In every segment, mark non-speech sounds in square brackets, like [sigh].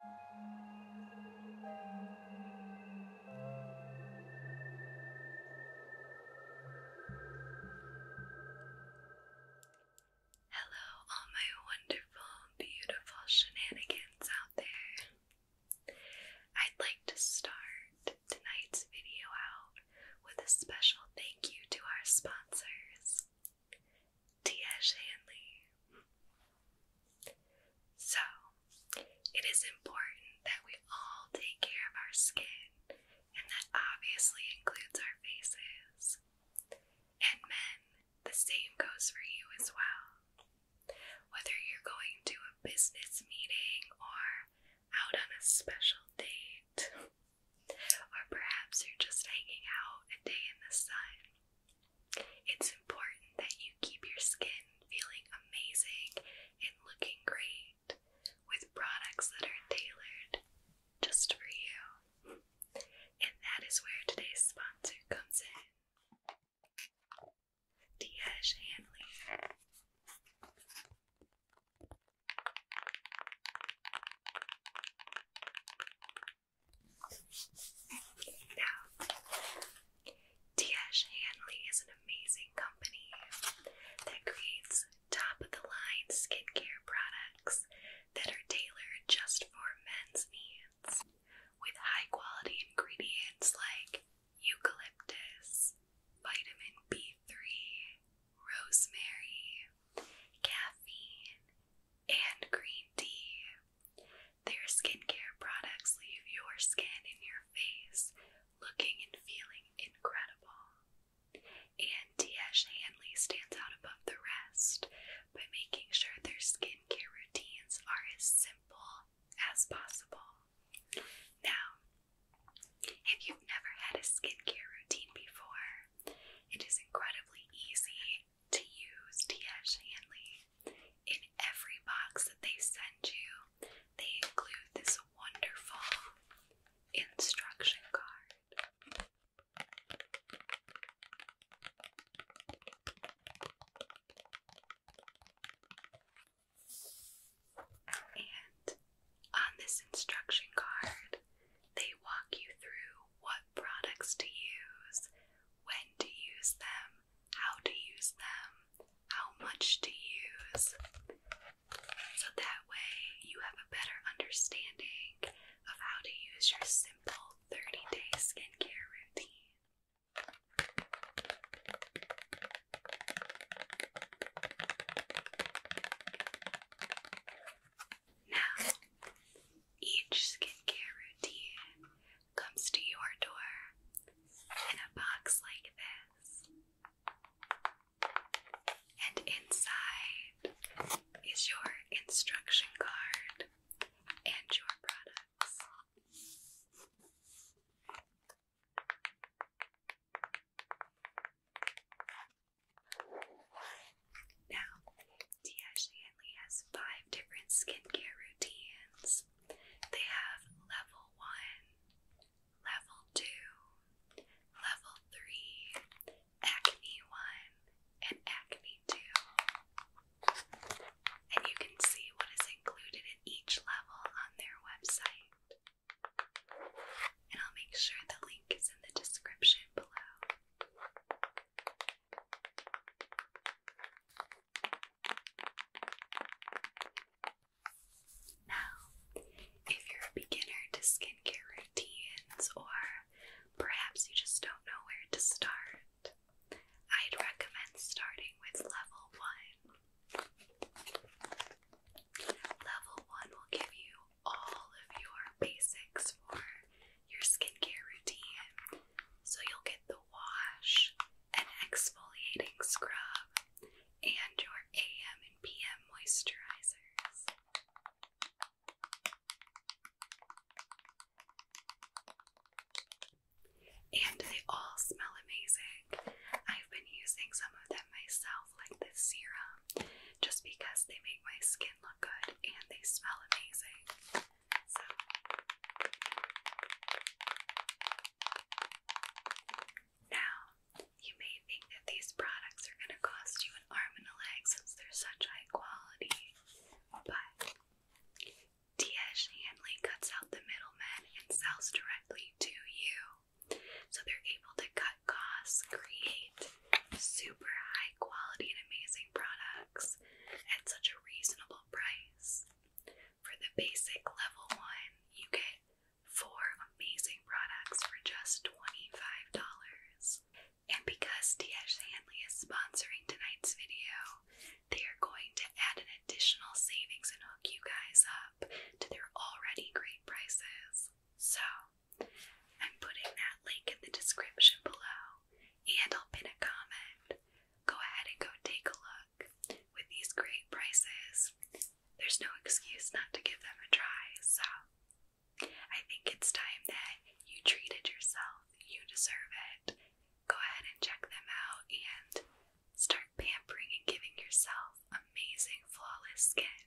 Hello, all my wonderful, beautiful shenanigans out there. I'd like to start tonight's video out with a special thank you to our sponsors T.S. Hanley. So, it is important that we all take care of our skin, and that obviously includes our faces. And men, the same goes for you as well. Whether you're going to a business meeting or out on a special date, or perhaps you're just hanging out a day in the sun, it's important that you keep your skin feeling amazing and looking great with products that are tailored just for you. And that is where today's sponsor comes in Diege Hanley. Now, T.H. Hanley is an amazing company that creates top-of-the-line skincare products that are tailored just for men's needs with high-quality ingredients like eucalyptus, vitamin B3, rosemary, caffeine, and green tea. Their skincare products leave your skin and your face looking and feeling incredible. And T.S. Hanley stands out above the rest by making sure their skincare routines are as simple as possible. Now, if you've never had a skincare routine before, it is incredibly easy to use T.S. Hanley. In every box that they send you, they include this wonderful instruction card. And on this instruction card, they walk you through what products to use, when to use them, how to use them, how much to use, so that way you have a better understanding of how to use your simple 30 day skincare routine. Now, each skincare routine comes to your door in a box like this. And inside is your instruction card and your products. Now, T.S. only has five different skincare routines. They have level one, level two, level three, acne one, and acne two. And you can see what is included at each level on their website. And I'll make sure the link is in the description below. Now, if you're a beginner to skincare routines, or perhaps you just don't know where to start, I'd recommend starting with level one. Level one will give you all of your basics for your skincare routine. So you'll get the wash, an exfoliating scrub, and your AM and PM moisturizers. And they all smell amazing. I've been using some of them myself, like this serum, just because they make my skin look good and they smell amazing. So now you may think that these products are going to cost you an arm and a leg since they're such high quality, but T.S. Hanley cuts out the middlemen and sells directly to you. So they're able to cut costs, create super high quality and amazing products at such a reasonable price. For the basic level one, you get four amazing products for just $25. And because TH Hanley is sponsoring tonight's video, they are going to add an additional savings and hook you guys up to their already great prices. So, I'm putting that link in the description below, and I'll pin a comment go ahead and go take a look. With these great prices, there's no excuse not to give them a try. So I think it's time that you treated yourself. You deserve it. Go ahead and check them out and start pampering and giving yourself amazing, flawless skin.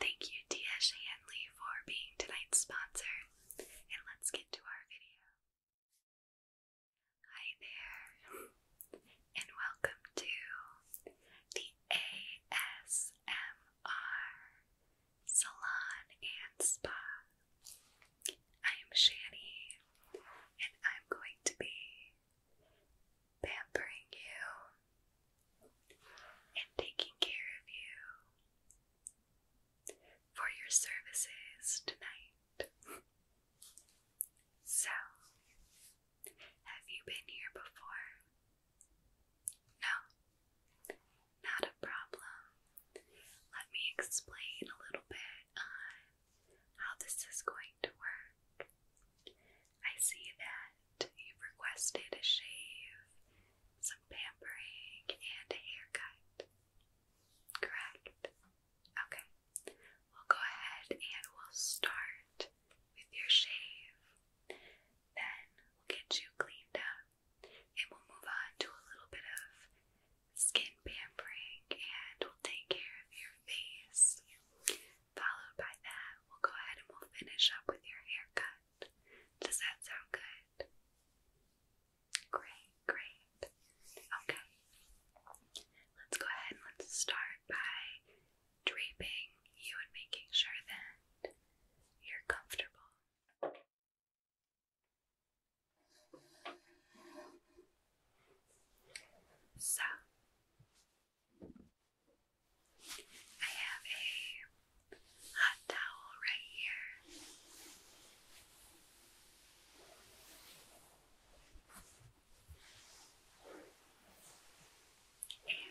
Thank you, Tia Shanley, for being tonight's sponsor, and let's get to our video. Hi there, and welcome to the ASMR Salon and Spa. I am Shani, and I'm going to be pampering you and taking care of you for your services tonight. so, have you been here before? No, not a problem. Let me explain a little bit on how this is going to work. I see that you've requested a shave, some pampering, and a haircut. Correct. Okay. We'll go ahead and we'll start with your shave. Then we'll get you cleaned up and we'll move on to a little bit of skin pampering and we'll take care of your face. Followed by that, we'll go ahead and we'll finish up with your haircut. Does that sound good? Great, great. Okay. Let's go ahead and let's start by draping you and making sure that you're comfortable. So, I have a hot towel right here. And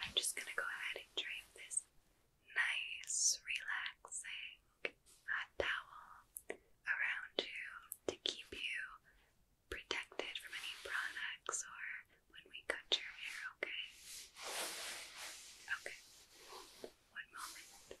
I'm just going to go ahead and drape this nice, relaxing hot towel around you to keep you protected from any products or when we cut your hair, okay? Okay, one moment.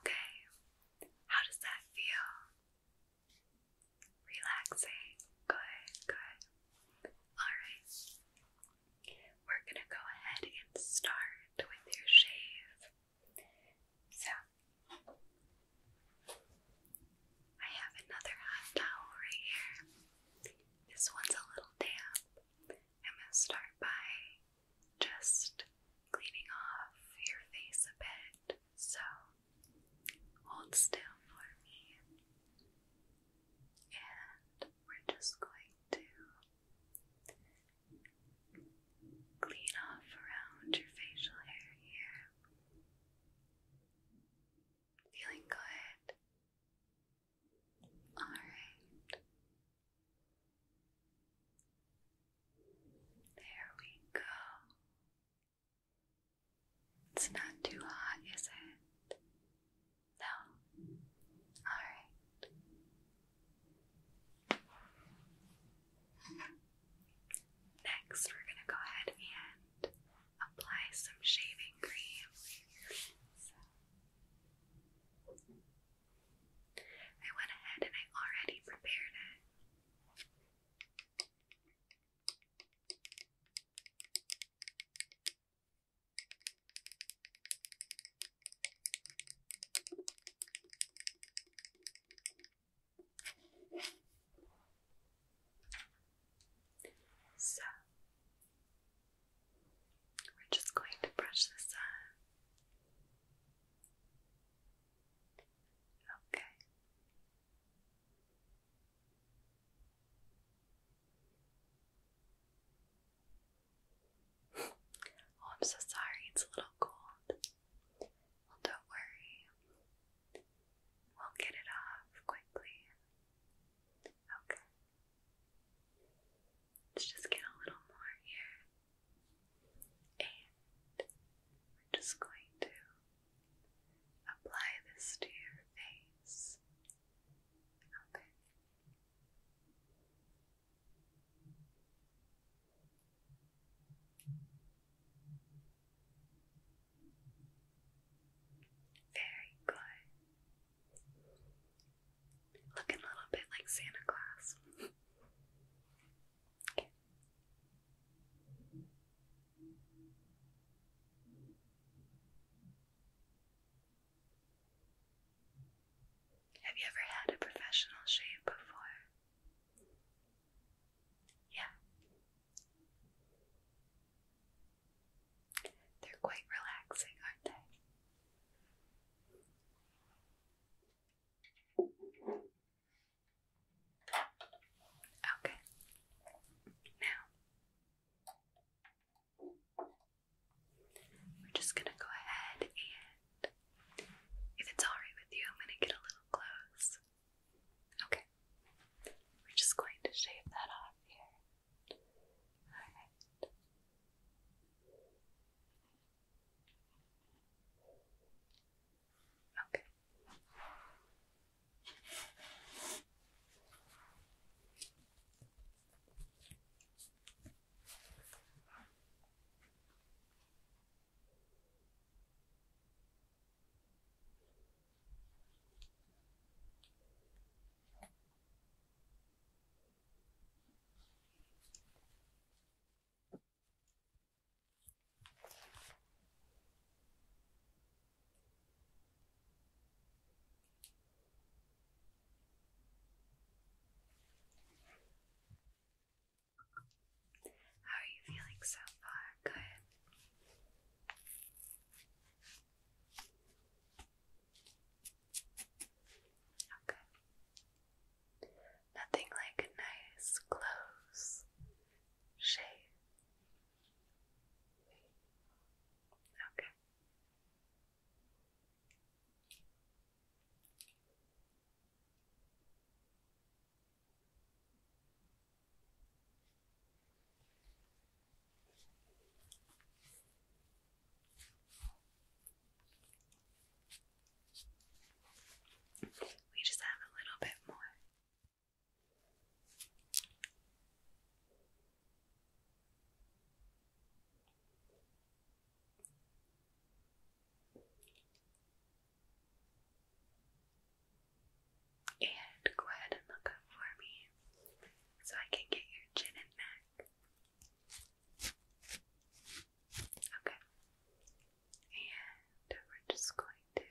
Okay, how does that feel? Relaxing. Good, good. Alright, we're gonna go ahead and start with your shave. So, I have another hot towel right here. This one's a little damp, I'm going to start by just cleaning off your face a bit. So hold still for me. And we're just going to clean off around your facial hair here. Feeling good? All right. There we go. It's not too hot, is it? No? Alright. Next, we're going to go ahead and apply some shaving cream. I went ahead and I already prepared it. So, we're just going to brush this out. Okay. oh, I'm so sorry, it's a little cold. Well, don't worry, we'll get it off quickly. Okay. Let's just get a little more here. And we're just going to apply this to your face. Open. Very good. Looking a little bit like Santa Claus. Have you ever had a professional shave before? Yeah. They're quite relaxing, aren't they? Okay. Now we're just going to go ahead and if it's alright with you, I'm going to get a little close. Okay. We're just going to shave that off here. Alright. Okay. Okay. How are you feeling so far? Good. Okay. Nothing like nice, close shave. Okay. We just have a little bit more. And go ahead and look up for me so I can get your chin and neck. Okay. And we're just going to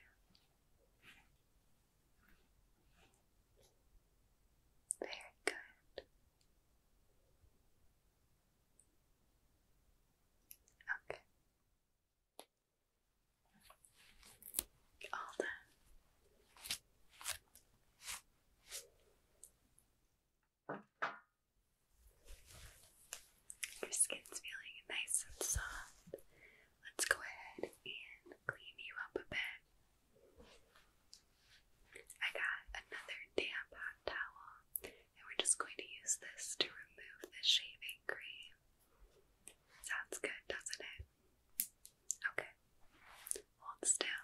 very good. Okay. All done. Your skin's feeling nice and soft. Let's go ahead and clean you up a bit. I got another damp hot towel, and we're just going to use this to remove the shaving cream. Sounds good, doesn't it? Okay. Hold still.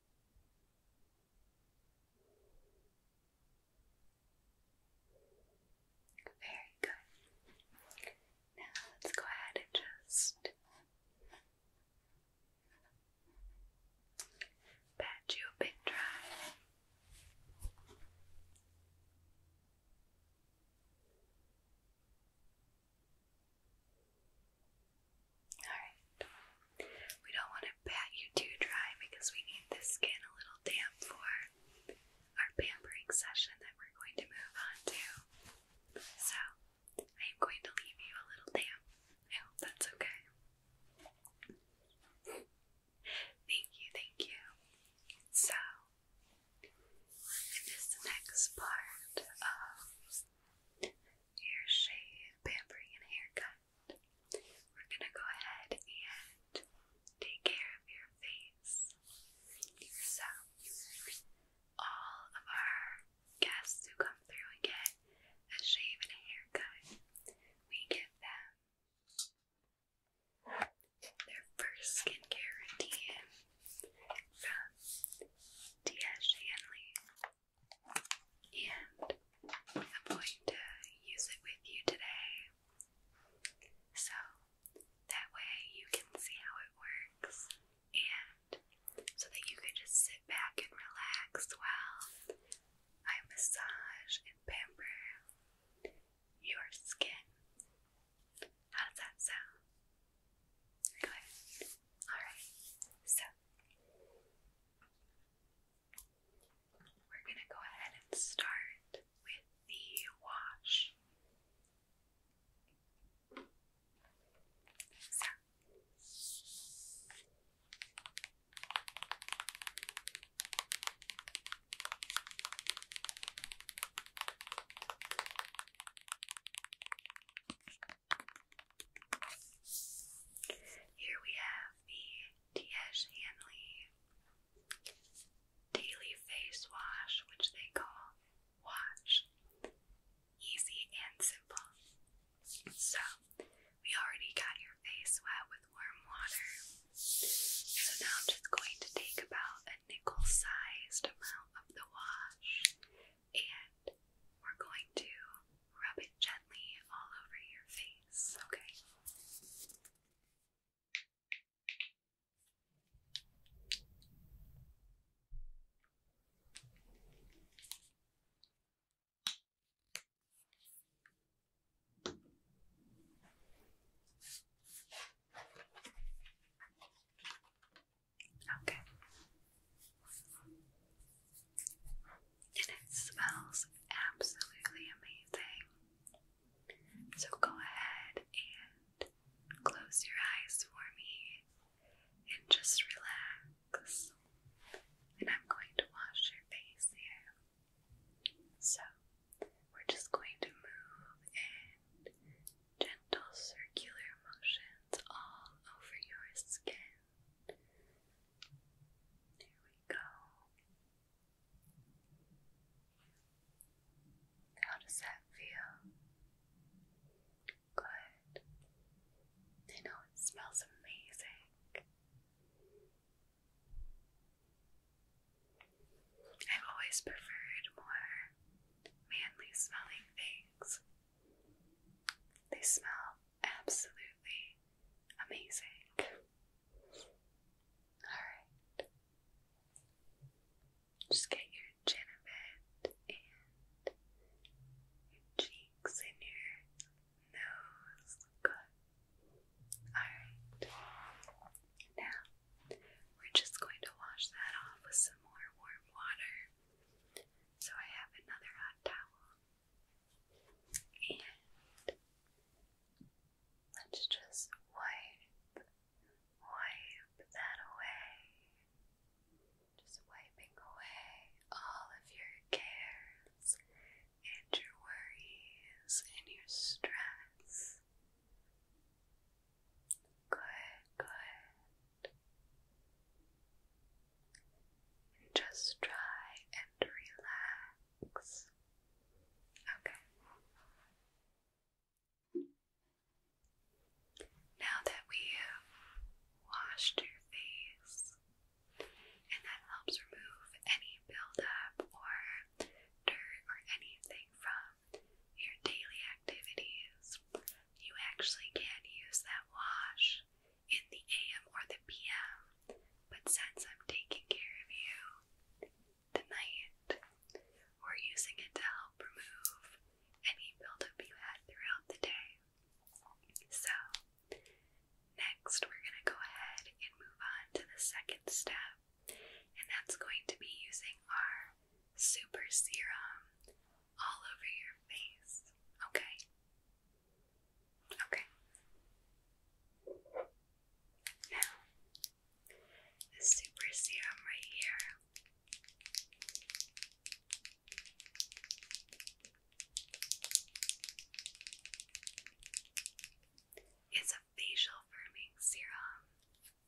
Very good. Now let's go ahead and just pat you bit dry. Alright. We don't want to pat you too dry because we need the skin a little damp for our pampering session that we're going to move on to. So, I am going to leave you a little damp. I hope that's okay. thank you, thank you. So, this next part of hair shave, pampering, and haircut. We're gonna go ahead and take care of your face. So, all of our guests who come through and get a shave and a haircut, we give them their first skincare routine from T.S. Shanley and I'm going to use it with you today so that way you can see how it works and so that you can just sit back and relax while I massage and pamper your skin. How does that sound? Good. Alright, so we're going to go ahead and start with the wash. So here we have the T.S. Hanley Daily Face Wash, which they call Wash. Easy and simple. So, we already got your face wet with warm water. So, now I'm just going to take about a nickel sized amount of the wash and we're going to rub it gently all over your face, okay? Okay, and it smells absolutely amazing. So go ahead and close your eyes for me and just relax. And I'm going to wash your face here. So we're just going to move in gentle circular motions all over your skin. There we go. How does that feel? Good. I know it smells amazing. I've always preferred more manly smelling things. They smell absolutely amazing. Alright. Just get your chin a bit and your cheeks and your nose. Good. Alright. Now, we're just going to wash that off with some more warm water. So I have another hot towel. And let's just wipe, wipe that away. Just wiping away all of your cares and your worries and your stress. Good, good. Just try and relax. Okay. Now that we have washed your face, and that helps remove any buildup or dirt or anything from your daily activities, you actually can use that wash in the AM or the PM, but since I'm taking care of you tonight, we're using it to help remove any buildup you had throughout the day. So, next we're going to go ahead and move on to the second step, and that's going to be using our super serum all over your face. Okay? Okay. Now, the super serum right here. It's a facial firming serum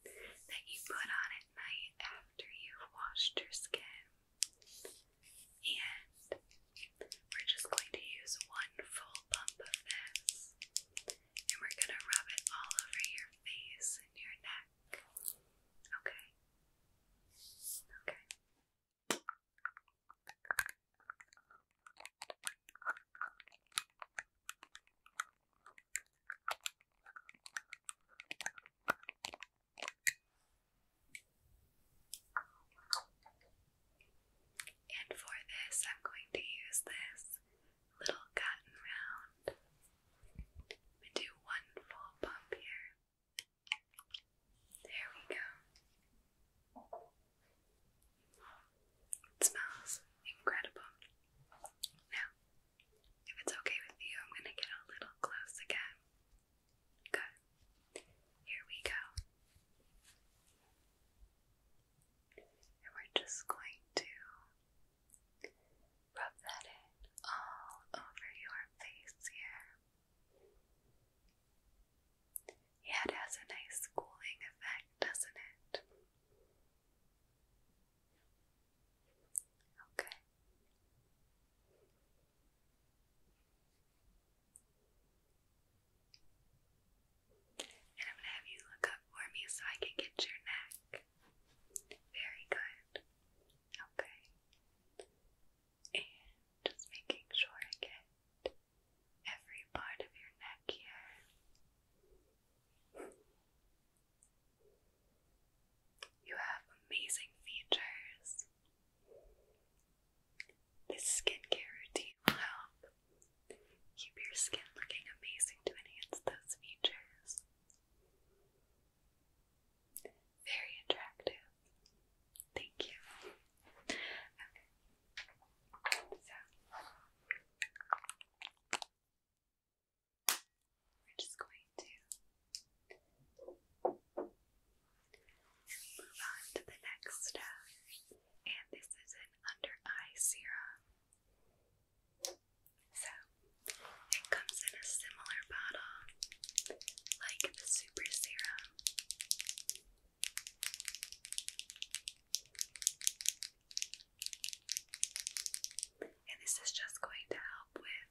that you put on at night after you've washed your skin. And we're just going to use one full pump of this. And we're going to rub it all over your face and your neck. Okay? Okay. And for this, I'm going to use this little cotton round. We do one full bump here. There we go. It smells incredible. Now, if it's okay with you, I'm going to get a little close again. Good. Here we go. And we're just going to rub that in all over your face here. Yeah, it has a nice cooling effect, doesn't it? Okay. And I'm going to have you look up for me so I can get your neck. Very good. Okay. And just making sure I get every part of your neck here. You have amazing features. This skincare routine will help keep your skin looking amazing to enhance those features. Very attractive. Thank you. Okay. So we're just going to Move on to the next step, and this is an under eye serum. So, it comes in a similar bottle like the super serum. And this is just going to help with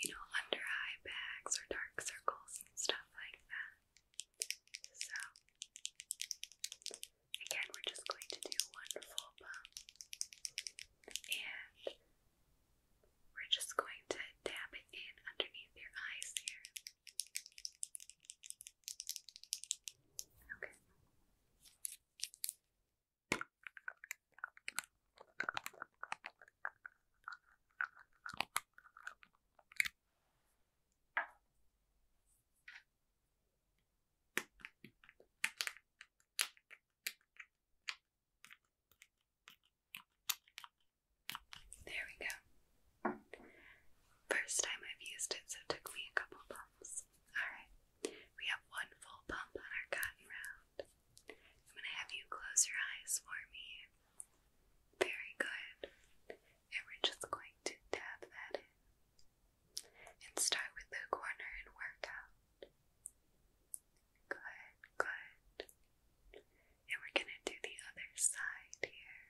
you know, under eye bags or dark circles and stuff like that. So, again, we're just going to do one full pump. And we're just going to dab it in underneath your eyes here. Okay. There we go. First time I've used it, so took me a couple pumps. Alright, we have one full pump on our cotton round. I'm gonna have you close your eyes for me. Very good. And we're just going to dab that in. And start with the corner and work out. Good, good. And we're going to do the other side here.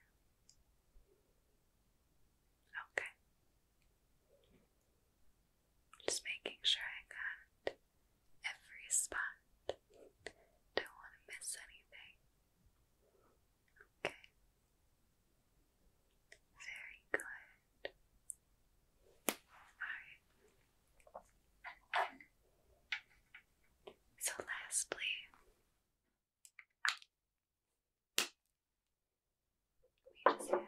Okay. Just making sure I got every spot. Don't want to miss anything. Okay. Very good. Alright. So, lastly, we just have our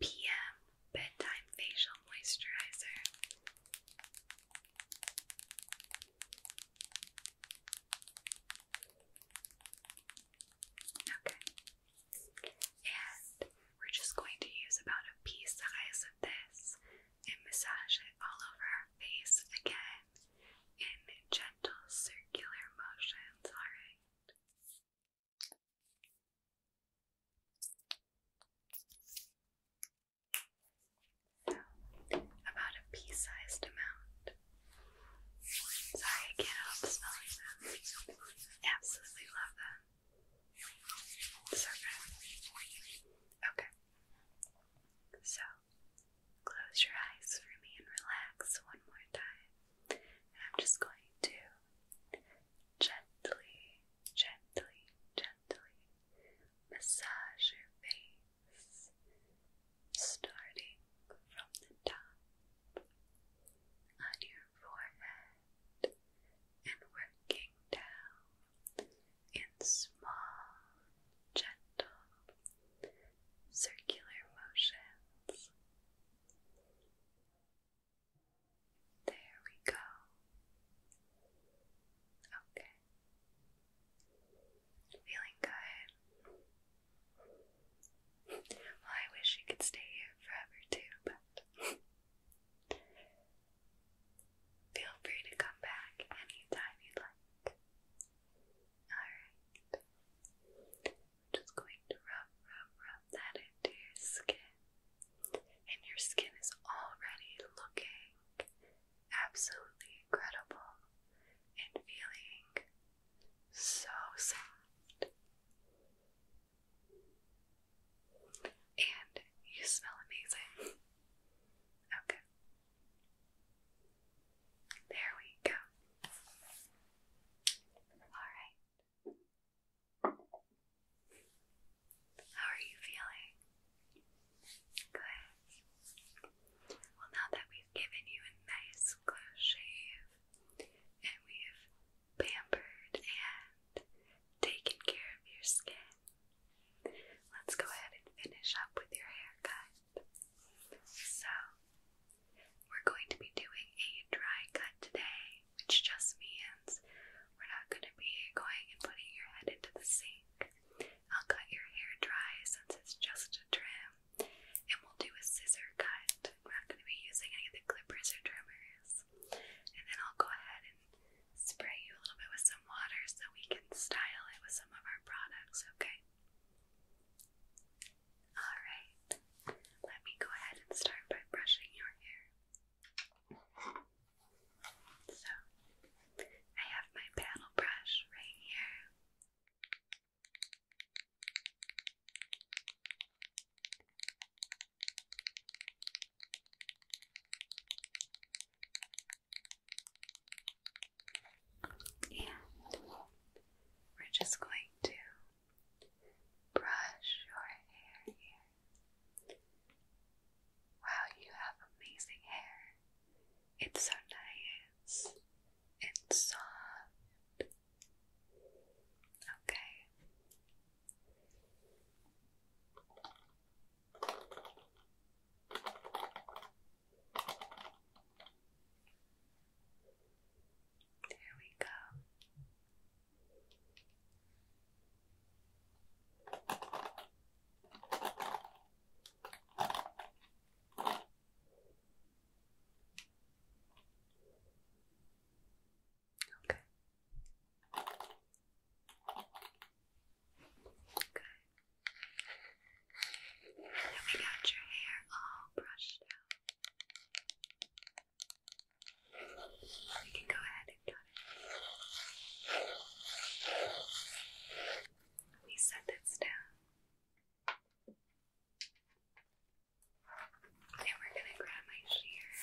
PM Bedtime Facial Moisturizer. Okay. And we're just going to use about a pea size of this and massage it all over our face again in gentle circular motions, alright? So, about a pea sized amount. Sorry, I can't smelling them. Absolutely love them. So Okay. So, close your eyes for me and relax one more time. I'm just going to gently, gently, gently gently massage your face, starting from the top on your forehead and working down in small, gentle, circular motions. There we go. Okay. Feeling good. Well, I wish you could stay here forever too, but feel free to come back anytime you like. Alright. just going to rub, rub, rub that into your skin and your skin is already looking absolutely incredible and feeling so soft. And you smell amazing. Okay. There we go. Alright. How are you feeling? Good. Well, now that we've given you a nice close shave and we've pampered and taken care of your skin, let's go ahead and finish up with your haircut. So, we're going to be doing a dry cut today, which just means we're not going to be going and putting your head into the sink. I'll cut your hair dry since it's just a trim, and we'll do a scissor cut. We're not going to be using any of the clippers or trimmers. And then I'll go ahead and spray you a little bit with some water so we can style it with some of our products, okay? Alright, let me go ahead and start by brushing your hair. So, I have my paddle brush right here. And we're just going to brush your hair here. Wow, you have amazing hair. It's so nice and soft. Okay. There we go. Okay. Good. we got your hair all brushed out. We can go ahead and it. We set this down. And we're going to grab my shears.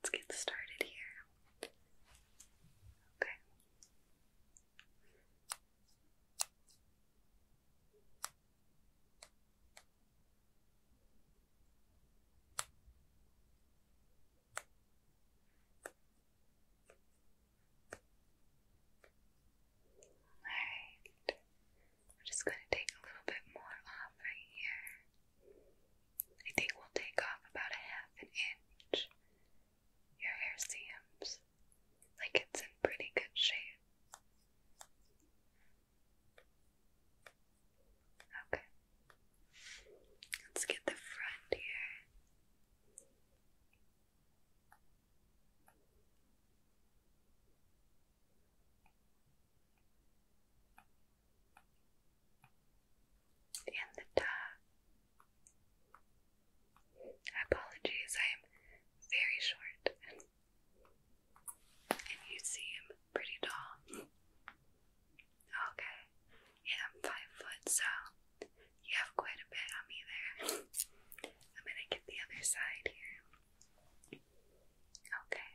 Let's get started here. Okay. Alright, we're just going to take a little bit more off right here. I think we'll take off about a half an inch. Your hair seems like it's in pretty good shape. Okay. Let's get the front here and the top. Apologies, I am very short, [laughs] and, you see i pretty tall. Okay, yeah, I'm five foot, so you have quite a bit on me there. [laughs] I'm gonna get the other side here. Okay.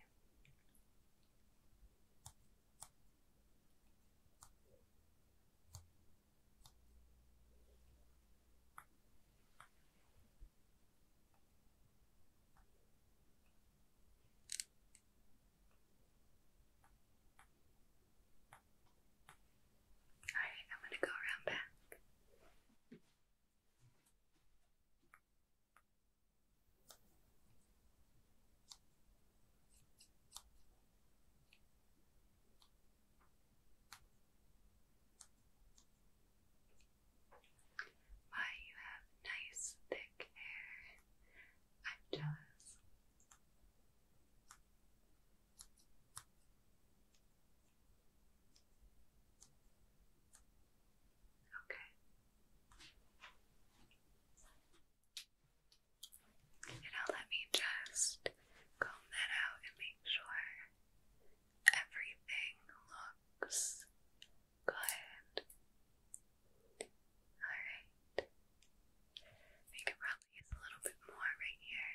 All right, I'm going to go around back. Why you have nice thick hair. i Okay. And now let me just comb that out and make sure everything looks good. Alright. We could probably use a little bit more right here.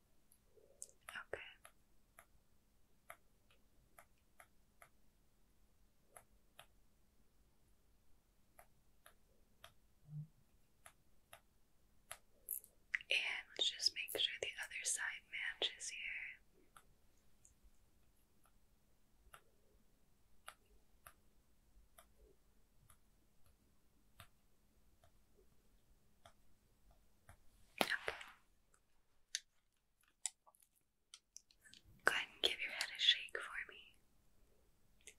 Okay. And let's just make sure the other side matches here. Okay. Go ahead and give your head a shake for me.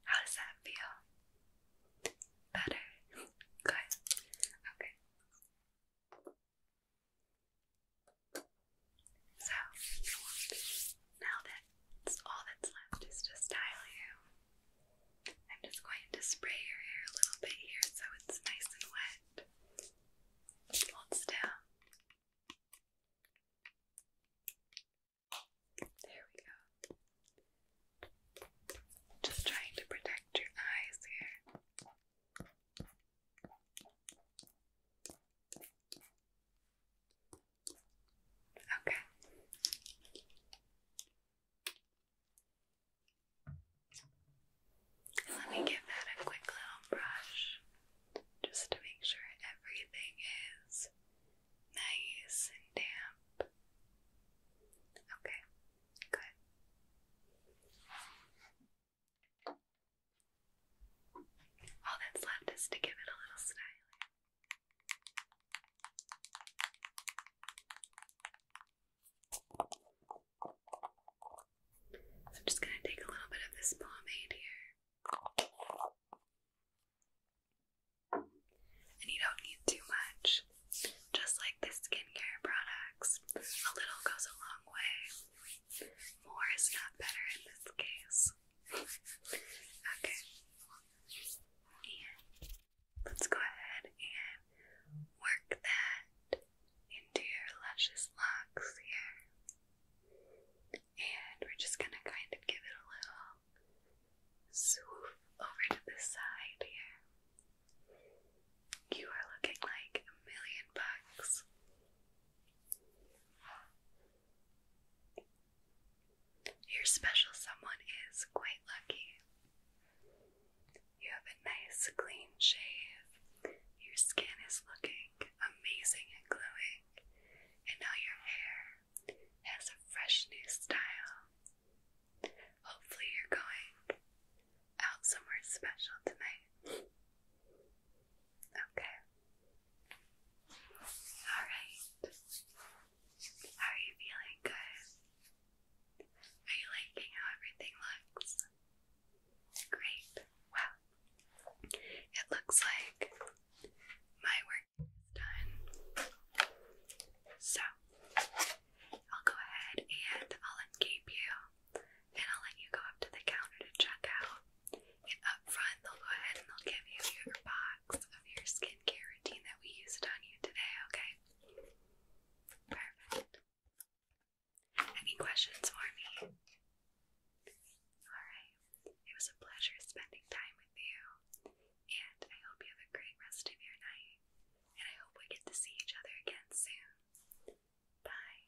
How does that feel? Better? Good. Okay. So, now that's all that's left is to style you. I'm just going to spray your hair a little bit here so it's nice and wet. Just hold There we go. Just trying to protect your eyes here. Okay let me give that a quick little brush just to make sure everything is nice and damp. Okay, good. All that's left is to give it a little styling. I'm just going to take a little bit of this pomade here. And you don't need too much. Just like the skincare products, a little goes a long way. More is not better in this case. okay. let's go ahead and work that into your luscious locks here. And we're just gonna kind of give it a little swoof over to the side here. You are looking like a million bucks. Your special someone is quite lucky. You have a nice clean shave. Your skin is looking amazing and glowing. And now your hair has a fresh new style. Hopefully, you're going out somewhere special tonight. Okay. Alright. are you feeling? Good? Are you liking how everything looks? Great. Well, it looks like my work done. So, I'll go ahead and I'll uncape you and I'll let you go up to the counter to check out. up front, they'll go ahead and they'll give you your box of your skincare routine that we used on you today, okay? Perfect. Any questions for me? Alright, it was a pleasure spending time with you, and I hope you have a great rest of your night, and I hope we get to see each other again soon. Bye.